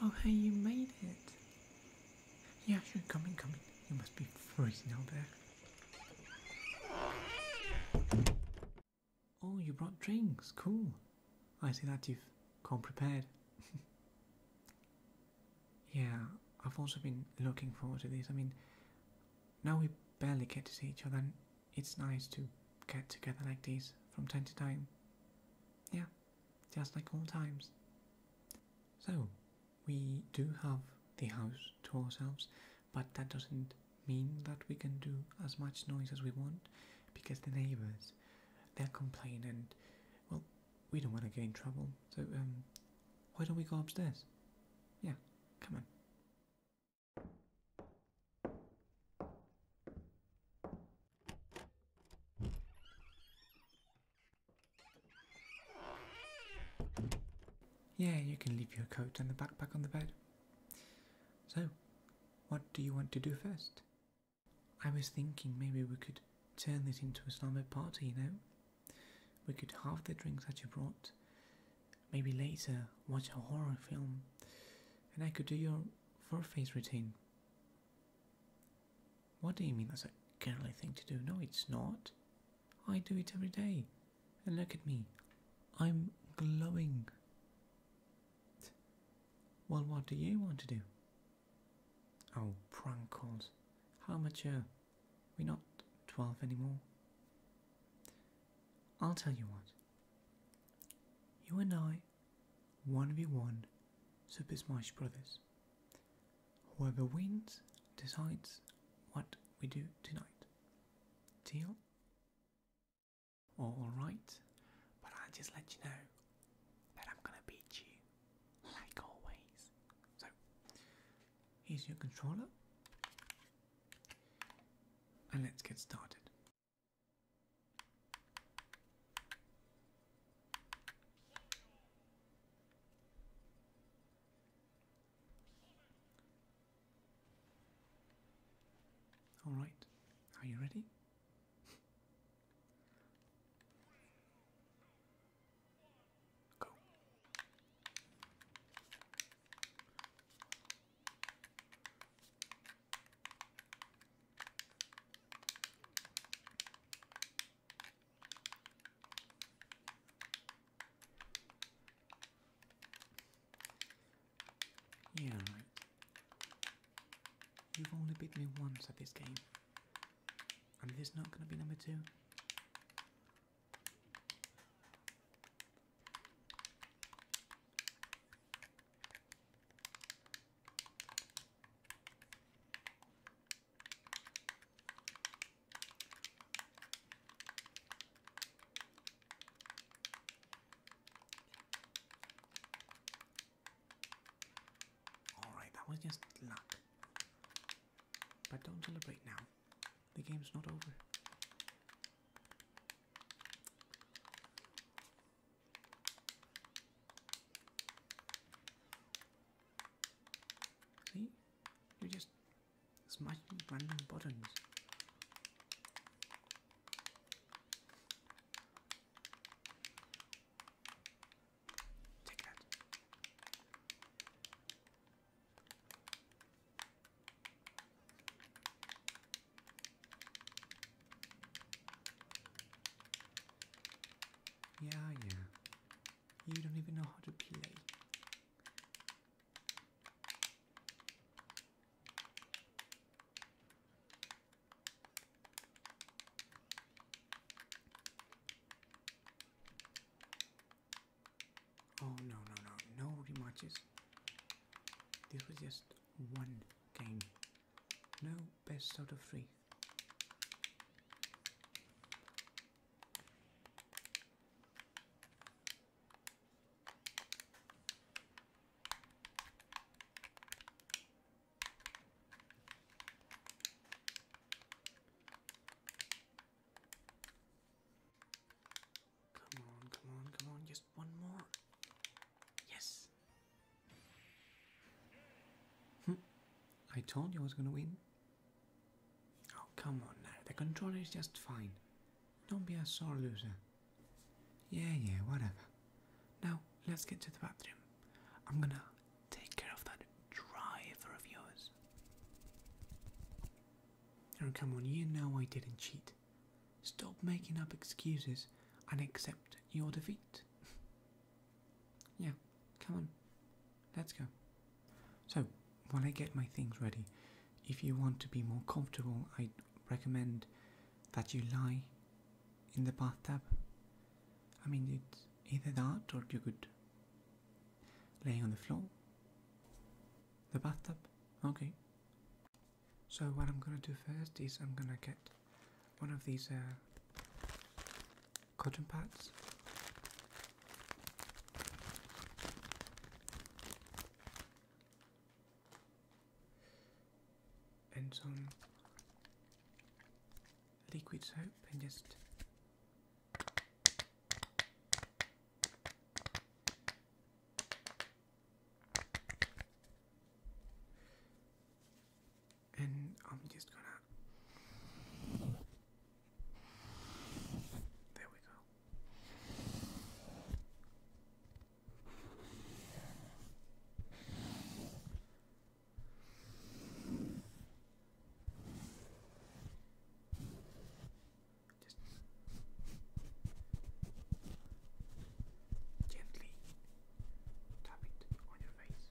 Oh, hey, you made it. Yeah, you're coming, coming. You must be freezing out there. Oh, you brought drinks. Cool. I see that you've come prepared. yeah, I've also been looking forward to this. I mean, now we barely get to see each other, and it's nice to get together like this from time to time. Yeah, just like old times. So, we do have the house to ourselves but that doesn't mean that we can do as much noise as we want because the neighbors they'll complain and well we don't want to gain trouble so um, why don't we go upstairs yeah come on yeah, you can leave your coat and the backpack on the bed. So, what do you want to do first? I was thinking maybe we could turn this into a slumber party, you know? We could have the drinks that you brought, maybe later watch a horror film, and I could do your fur face routine. What do you mean that's a girly thing to do? No, it's not. I do it every day. And look at me. I'm glowing. Well, what do you want to do? Oh, prank How mature. Uh, We're not 12 anymore. I'll tell you what. You and I, 1v1 Super Smash Brothers. Whoever wins decides what we do tonight. Deal? Alright, but I'll just let you know that I'm gonna beat you, like always. So, here's your controller, and let's get started. All right, are you ready? Go. Yeah, You've only beat me once at this game. And this not gonna be number two. Alright, that was just luck. But don't celebrate now. The game's not over. See? You just Smashing random buttons. Take that. Yeah, yeah. You don't even know how to play. Oh no no no no rematches. This was just one game. No best out of three. Come on, come on, come on, just one more. Yes. Hmm, I told you I was gonna win. Oh, come on now. The controller is just fine. Don't be a sore loser. Yeah, yeah, whatever. Now, let's get to the bathroom. I'm gonna take care of that driver of yours. Oh, come on, you know I didn't cheat. Stop making up excuses and accept your defeat. yeah, Come on, let's go. So, while I get my things ready, if you want to be more comfortable, I'd recommend that you lie in the bathtub. I mean, it's either that or you could lay on the floor. The bathtub? Okay. So, what I'm gonna do first is I'm gonna get one of these uh, cotton pads. And some liquid soap, and just and I'm just gonna there we go. Just gently tap it on your face.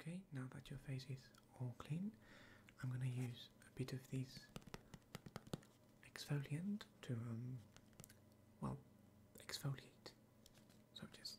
Okay, now that your face is all clean, I'm going to use a bit of this exfoliant to, um, well, exfoliate. So just.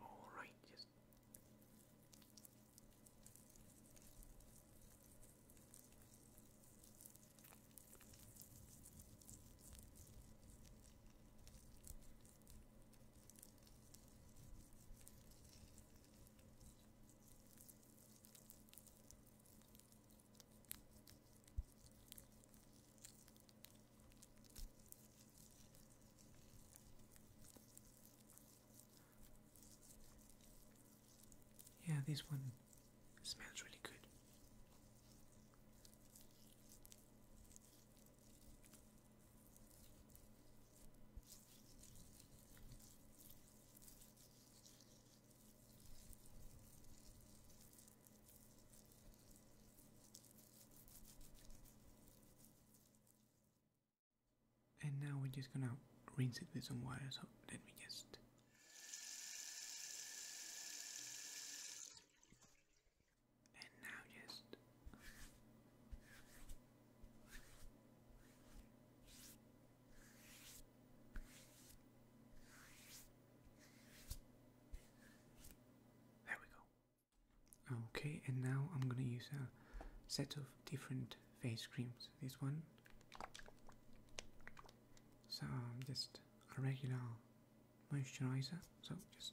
All right, just yeah, this one smells really good. And now we're just gonna rinse it with some water, so let me just. And now just. There we go. Okay, and now I'm gonna use a set of different face creams. This one, so um, just a regular moisturizer. So just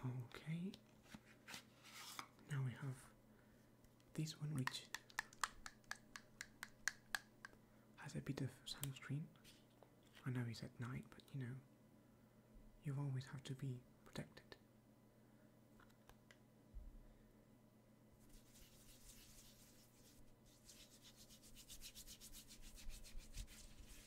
Okay. Now we have this one which has a bit of sunscreen. I know it's at night, but you know, you always have to be protected.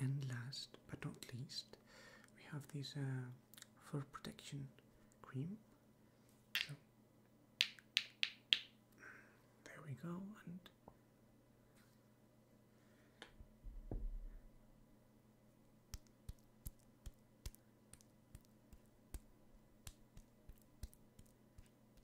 And last but not least, we have this uh, for protection cream. there we go, and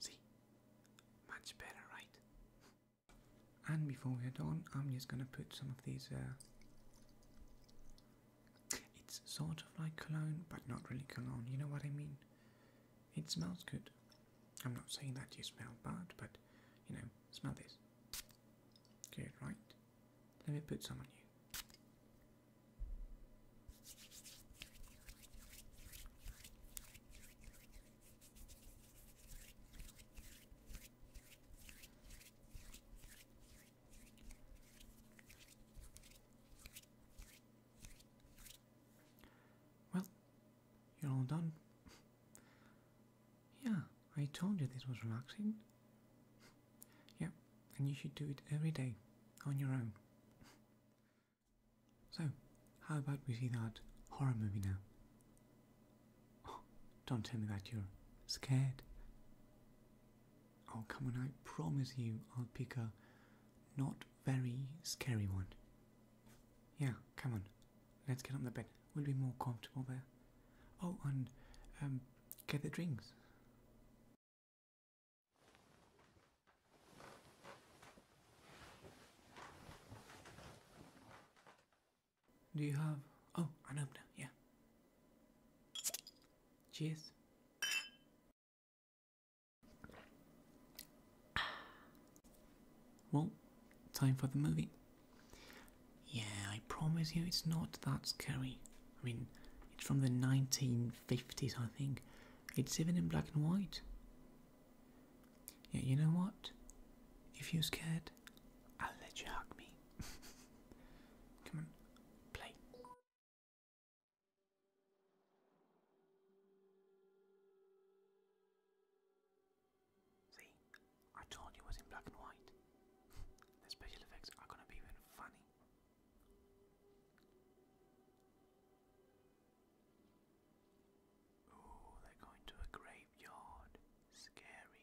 See? Much better, right? And before we get on, I'm just gonna put some of these. Uh, it's sort of like cologne, but not really cologne. You know what I mean? It smells good. I'm not saying that you smell bad, but you know, smell this. Good, right? Let me put some on you. Well, you're all done. yeah, I told you this was relaxing. yeah, and you should do it every day on your own. so, how about we see that horror movie now? don't tell me that you're scared. Oh, come on, I promise you I'll pick a not very scary one. Yeah, come on, let's get on the bed. We'll be more comfortable there. Oh, and um, get the drinks. Do you have? Oh, I an opener. Yeah. Cheers. Well, time for the movie. Yeah, I promise you it's not that scary. I mean, it's from the 1950s, I think. It's even in black and white. Yeah, you know what? If you're scared, I'll let you hug me. Come on, play. See, I told you it was in black and white. the special effects are gonna be even funny. Ooh, they're going to a graveyard. Scary.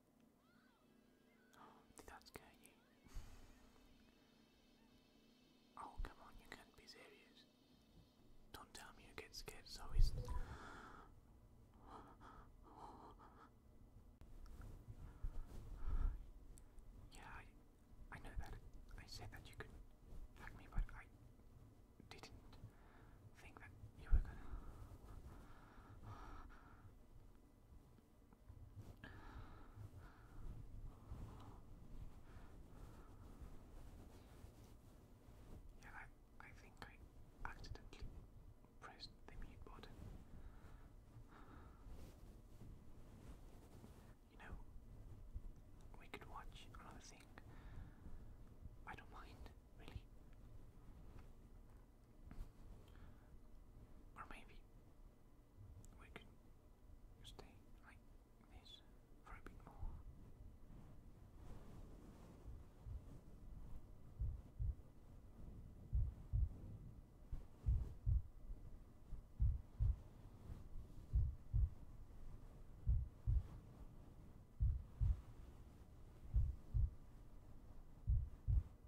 Oh, did you? oh, come on, you can't be serious. Don't tell me you get scared so easily. yeah, I, I know that I said that you could hug me, but I didn't think that you were gonna. Yeah, I, I think I accidentally pressed the mute button. You know, we could watch another thing. I don't mind, really. Or maybe we could stay like this for a bit more.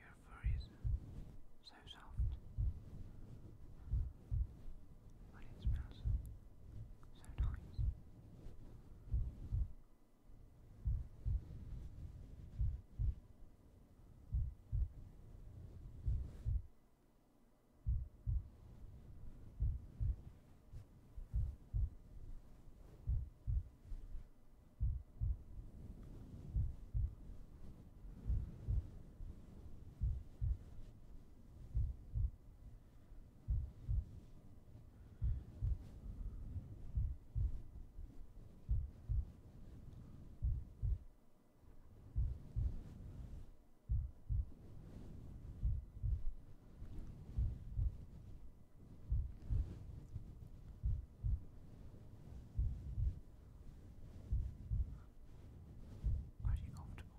Your fur is so soft but it smells so nice. Are you comfortable?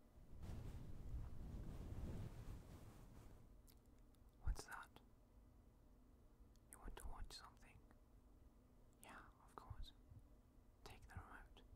What's that? You want to watch something? Yeah, of course. Take the remote.